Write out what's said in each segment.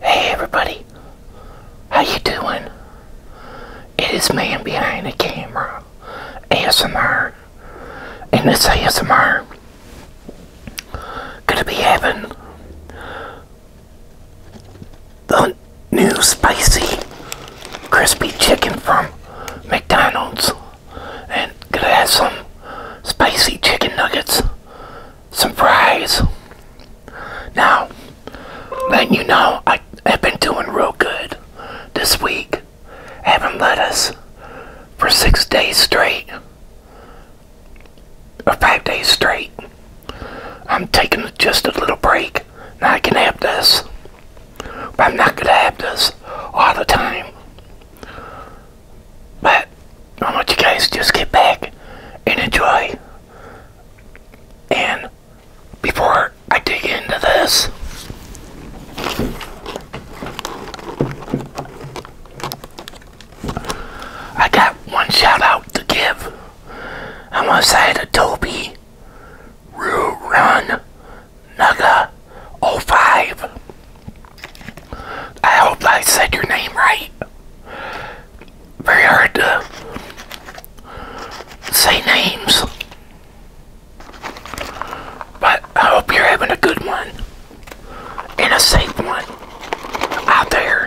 Hey everybody, how you doing? It is man behind the camera, ASMR, and this ASMR gonna be having the new spicy crispy chicken from McDonald's, and gonna have some spicy chicken nuggets Surprise! Now, let you know, I have been doing real good this week. Having us for six days straight, or five days straight. I'm taking just a little break. Now I can have this, but I'm not going to have this all the time. But I want you guys to just get back and enjoy. And before I dig into this, I got one shout out to give. I'm gonna say to Toby Run Naga 05. I hope I said your name right. Very hard to say names. But I hope you're having a good one. And a safe one. Out there.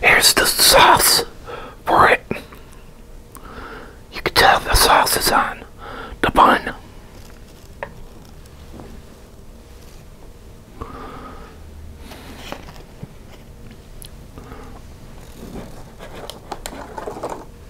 Here's the sauce for it. You can tell the sauce is on the bun.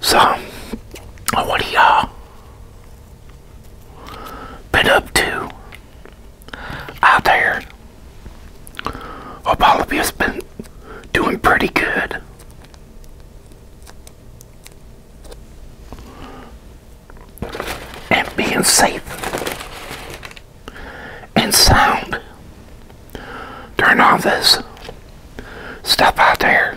So, what do y'all uh, been up to out there? Hope all of you's been doing pretty good. And being safe and sound during all this Step out there.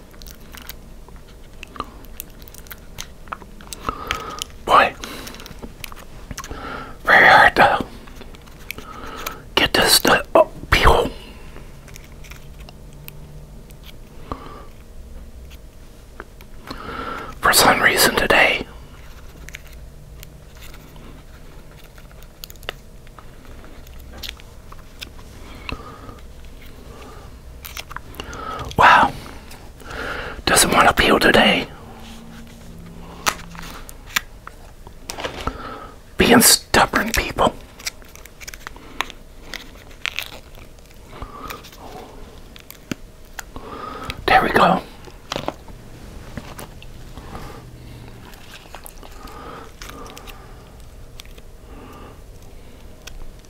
Boy, very hard to get this to appeal. For some reason today, Wow. Doesn't want to peel today. Being stubborn people. There we go.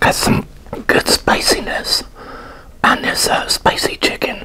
Got some good spiciness on this spicy chicken.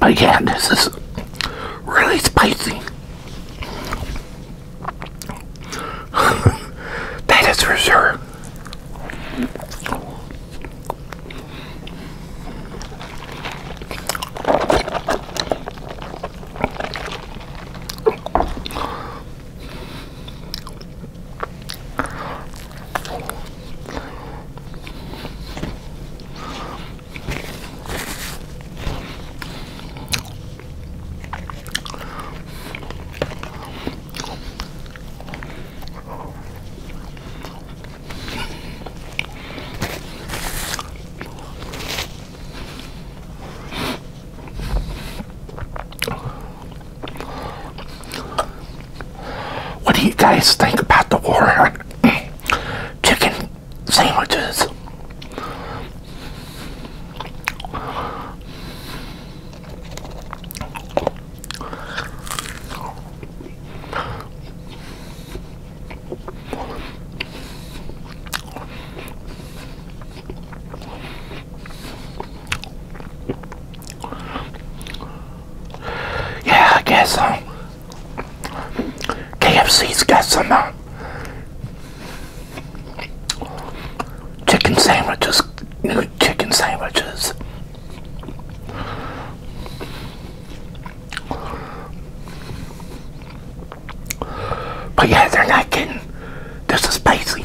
My God, this is really spicy. that is for sure. What do you guys think about the war chicken sandwiches. Yeah, I guess so. Um, KFC's got some uh, chicken sandwiches, new chicken sandwiches. But yeah, they're not getting this is spicy.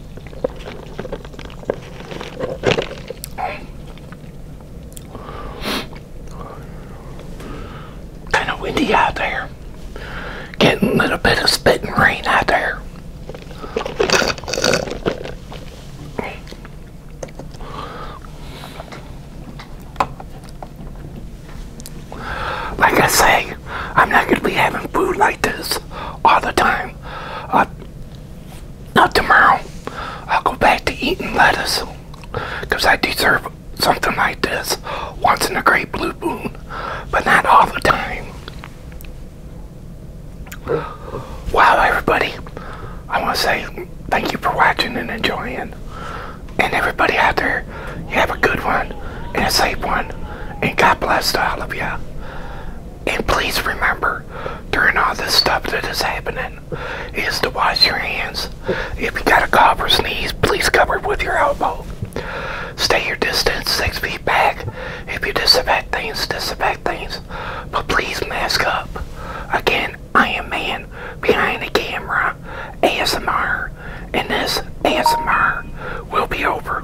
Kind of windy out there. Getting a little bit of spitting rain out there. Like I say, I'm not going to be having food like this all the time. Not tomorrow, I'll go back to eating lettuce. Because I deserve something like this once in a great blue moon, but not all the time. Wow, everybody. I want to say thank you for watching and enjoying. And everybody out there, you have a good one and a safe one. And God bless all of you. And please remember, during all this stuff that is happening, is to wash your hands. If you got a cough or sneeze, please cover it with your elbow. Stay your distance six feet back. If you disinfect things, disinfect things. But please mask up. Again, I am man behind the camera, ASMR, and this ASMR will be over.